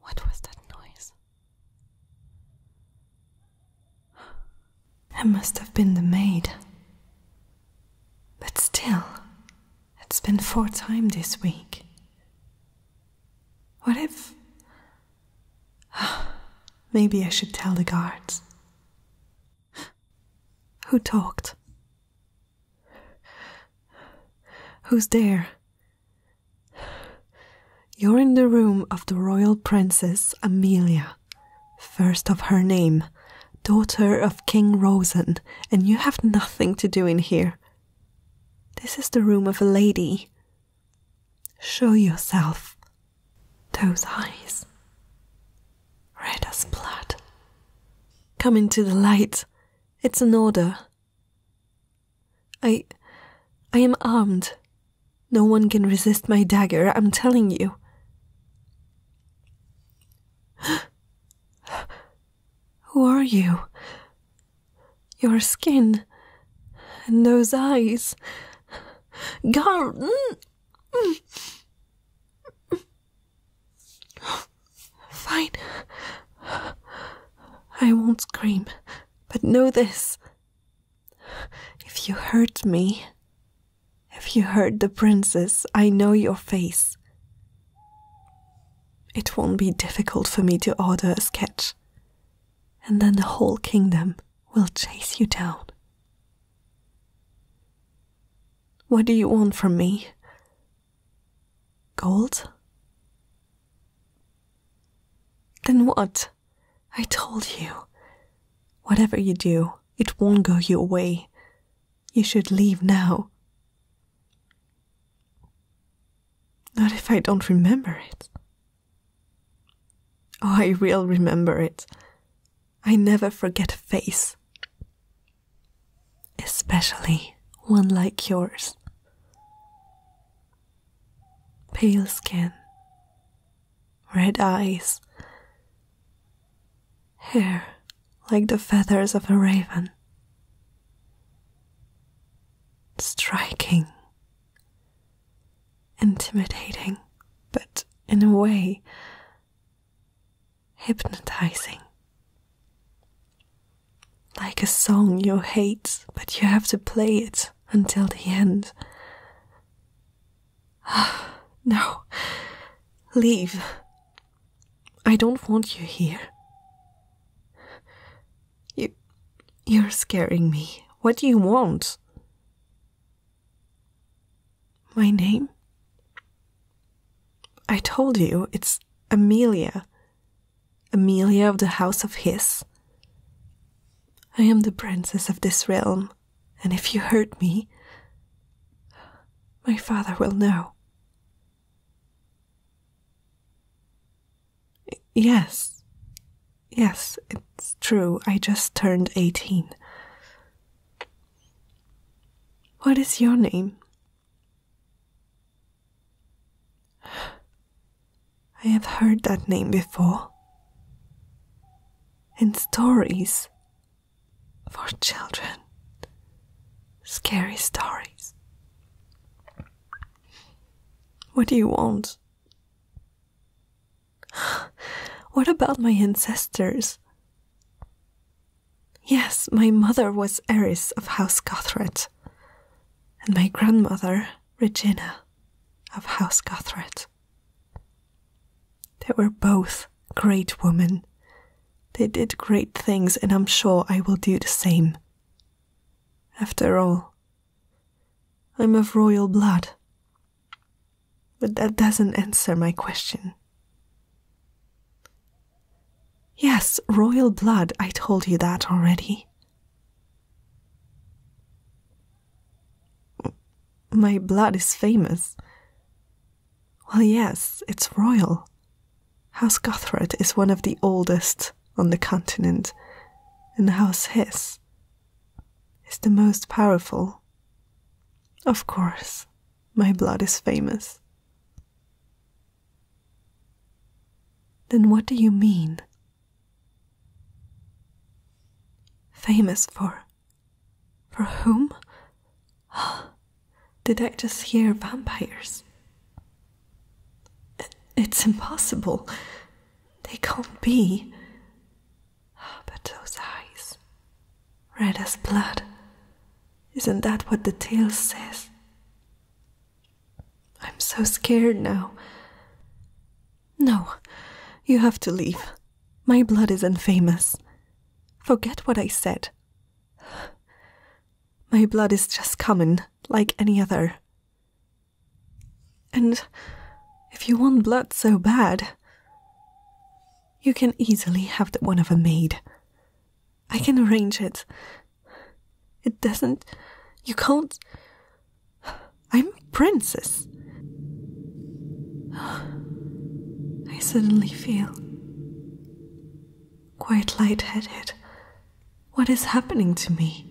what was that noise? It must have been the maid. But still, it's been four times this week. What if. Maybe I should tell the guards. Who talked? Who's there? You're in the room of the royal princess Amelia, first of her name, daughter of King Rosen, and you have nothing to do in here. This is the room of a lady. Show yourself. Those eyes red as blood. Come into the light. It's an order. I. I am armed. No one can resist my dagger, I'm telling you. Who are you? Your skin and those eyes. Garden! Mm, mm. Fine. I won't scream, but know this. If you hurt me, if you hurt the princess, I know your face. It won't be difficult for me to order a sketch, and then the whole kingdom will chase you down. What do you want from me? Gold? Then what? I told you. Whatever you do, it won't go your way. You should leave now. Not if I don't remember it. Oh, I will remember it. I never forget a face. Especially one like yours. Pale skin, red eyes, hair like the feathers of a raven. Striking, intimidating, but in a way, hypnotizing. Like a song you hate, but you have to play it until the end. no, leave. I don't want you here. You, you're scaring me. What do you want? My name? I told you, it's Amelia. Amelia of the House of His. I am the princess of this realm, and if you hurt me, my father will know. Yes, yes, it's true. I just turned eighteen. What is your name? I have heard that name before. In stories for children. Scary stories. What do you want? What about my ancestors? Yes, my mother was heiress of House Gothret, and my grandmother, Regina, of House Gothret. They were both great women. They did great things, and I'm sure I will do the same. After all, I'm of royal blood. But that doesn't answer my question. Yes, royal blood, I told you that already. My blood is famous. Well, yes, it's royal. House Gothard is one of the oldest on the continent, and House His is the most powerful. Of course, my blood is famous. Then what do you mean? Famous for. for whom? Did I just hear vampires? It's impossible. They can't be. But those eyes. Red as blood. Isn't that what the tale says? I'm so scared now. No, you have to leave. My blood is infamous. Forget what I said. My blood is just common, like any other. And if you want blood so bad, you can easily have that one of a maid. I can arrange it. It doesn't. You can't. I'm a princess. I suddenly feel quite light-headed. What What is happening to me?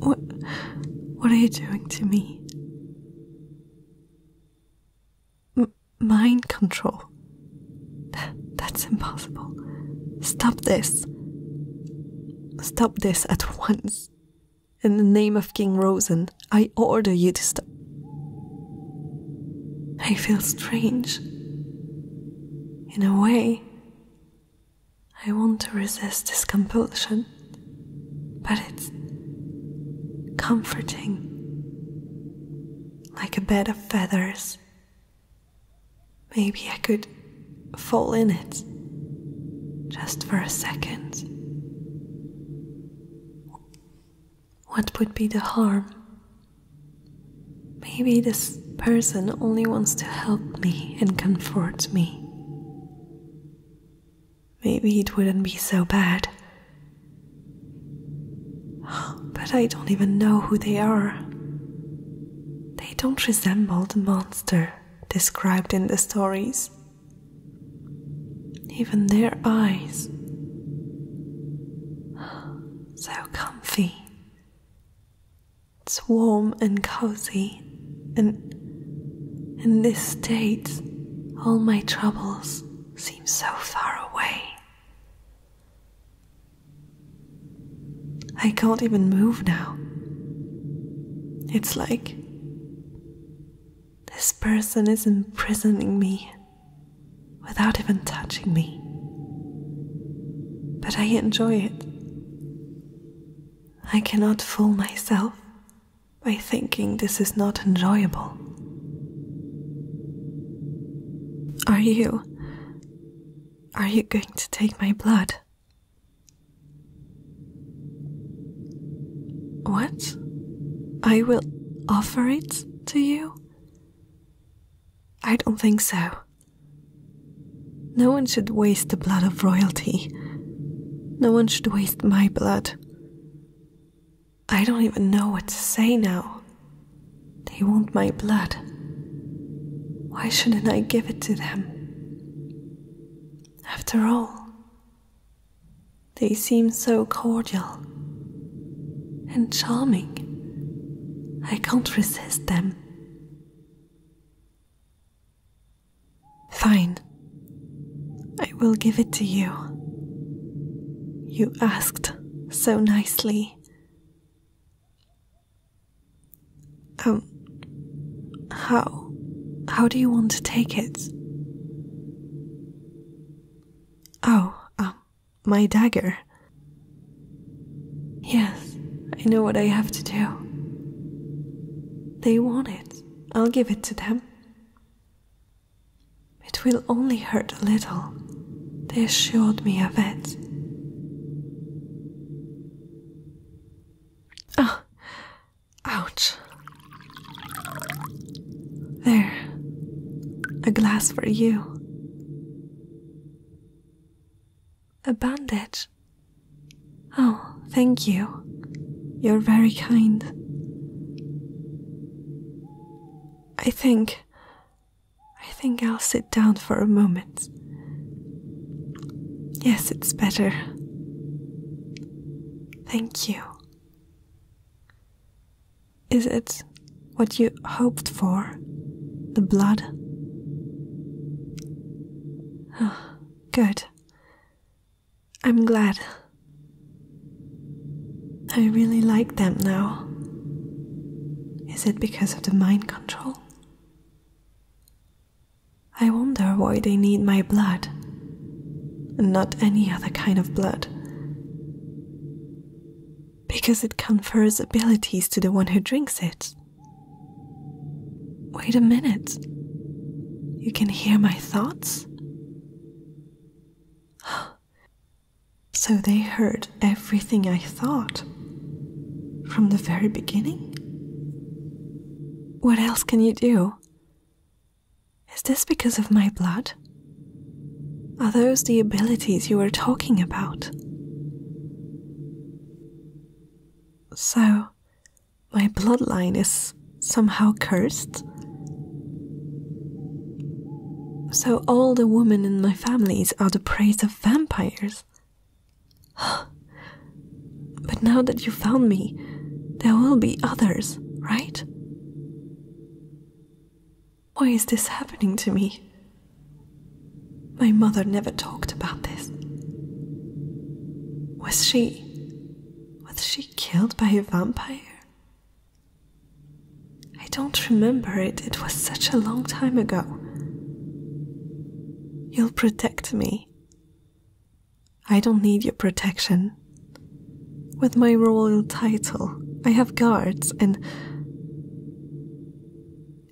What, what are you doing to me? mind control. That's impossible. Stop this. Stop this at once. In the name of King Rosen, I order you to stop. I feel strange. In a way, I want to resist this compulsion but it's comforting like a bed of feathers. Maybe I could fall in it just for a second. What would be the harm? Maybe this person only wants to help me and comfort me. Maybe it wouldn't be so bad. But I don't even know who they are. They don't resemble the monster described in the stories. Even their eyes. So comfy. It's warm and cozy and in this state, all my troubles seem so far away. I can't even move now. It's like this person is imprisoning me without even touching me. But I enjoy it. I cannot fool myself by thinking this is not enjoyable. Are you. Are you going to take my blood? What? I will offer it to you? I don't think so. No one should waste the blood of royalty. No one should waste my blood. I don't even know what to say now. They want my blood. Why shouldn't I give it to them? After all, they seem so cordial and charming. I can't resist them. Fine. I will give it to you. You asked so nicely. Um, how? How do you want to take it? Oh, um, my dagger. Yes, I know what I have to do. They want it. I'll give it to them. It will only hurt a little, they assured me of it. Oh, ouch. There, a glass for you. A bandage, Oh, thank you. You're very kind. I think. I think I'll sit down for a moment. Yes, it's better. Thank you. Is it what you hoped for? The blood? Oh, good. I'm glad. I really like them now. Is it because of the mind control? I wonder why they need my blood, and not any other kind of blood. Because it confers abilities to the one who drinks it. Wait a minute. You can hear my thoughts? so they heard everything I thought from the very beginning? What else can you do? Is this because of my blood? Are those the abilities you were talking about? So, my bloodline is somehow cursed. So all the women in my families are the prey of vampires. but now that you found me, there will be others, right? Why is this happening to me? My mother never talked about this. Was she was she killed by a vampire? I don't remember it, it was such a long time ago. You'll protect me. I don't need your protection. With my royal title, I have guards and.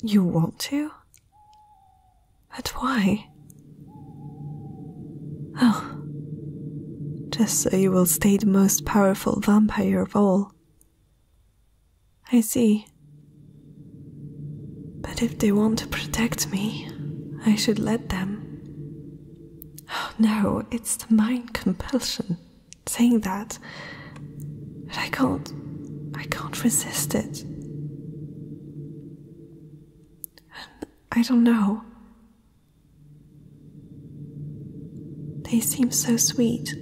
You want to? But why? Oh, just so you will stay the most powerful vampire of all. I see. But if they want to protect me, I should let them. Oh no, it's the mind compulsion saying that. But I can't. I can't resist it. I don't know. They seem so sweet.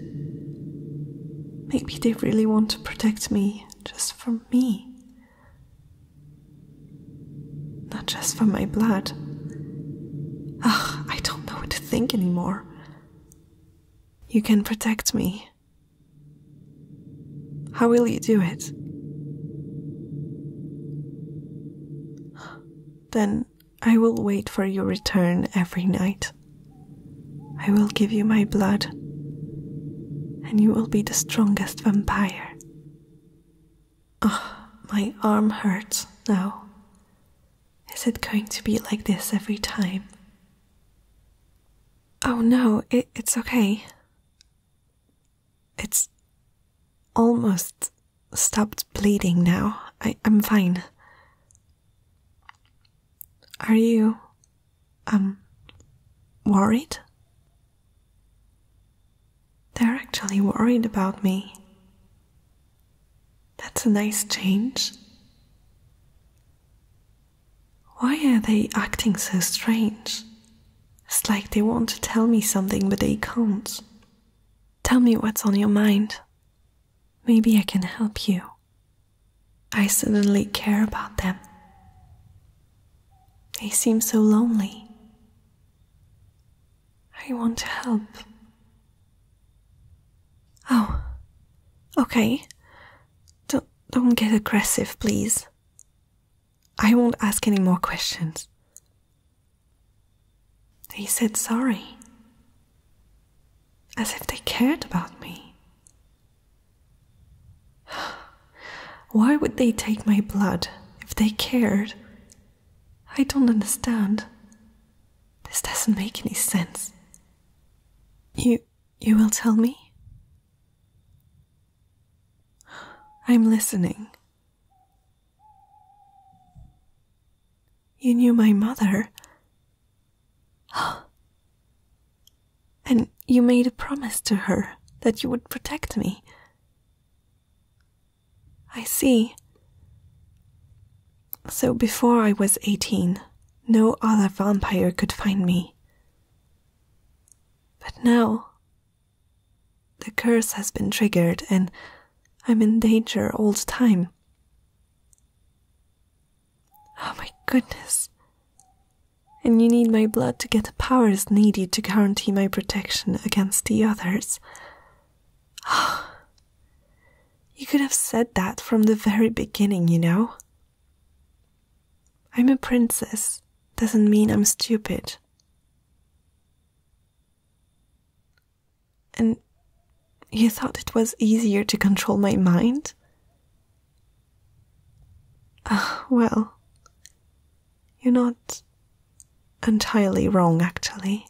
Maybe they really want to protect me just for me. Not just for my blood. Ugh, I don't know what to think anymore. You can protect me. How will you do it? Then I will wait for your return every night. I will give you my blood, and you will be the strongest vampire. Ah, oh, my arm hurts now. Is it going to be like this every time? Oh no, it's okay. It's almost stopped bleeding now. I, am fine. Are you, um, worried? They're actually worried about me. That's a nice change. Why are they acting so strange? It's like they want to tell me something, but they can't. Tell me what's on your mind. Maybe I can help you. I suddenly care about them. They seem so lonely. I want to help. Oh, okay. Don't, don't get aggressive, please. I won't ask any more questions. They said sorry, as if they cared about me. Why would they take my blood if they cared? I don't understand. This doesn't make any sense. You you will tell me? I'm listening. You knew my mother. And you made a promise to her that you would protect me. I see. So before I was 18, no other vampire could find me. But now the curse has been triggered and I'm in danger all the time. Oh my goodness. And you need my blood to get the powers needed to guarantee my protection against the others. you could have said that from the very beginning, you know? I'm a princess doesn't mean I'm stupid. And you thought it was easier to control my mind? Ah, well, you're not entirely wrong, actually.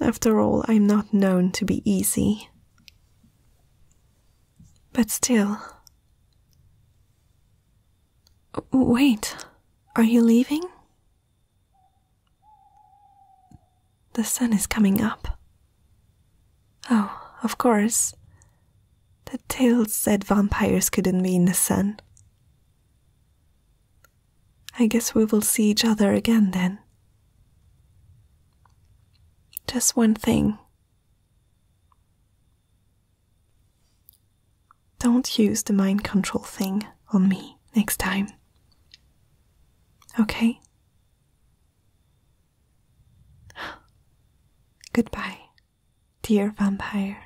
After all, I'm not known to be easy. But still. Wait, are you leaving? The sun is coming up. Oh, of course. The tales said vampires couldn't be in the sun. I guess we will see each other again then. Just one thing don't use the mind control thing on me next time. Okay? Goodbye, dear vampire.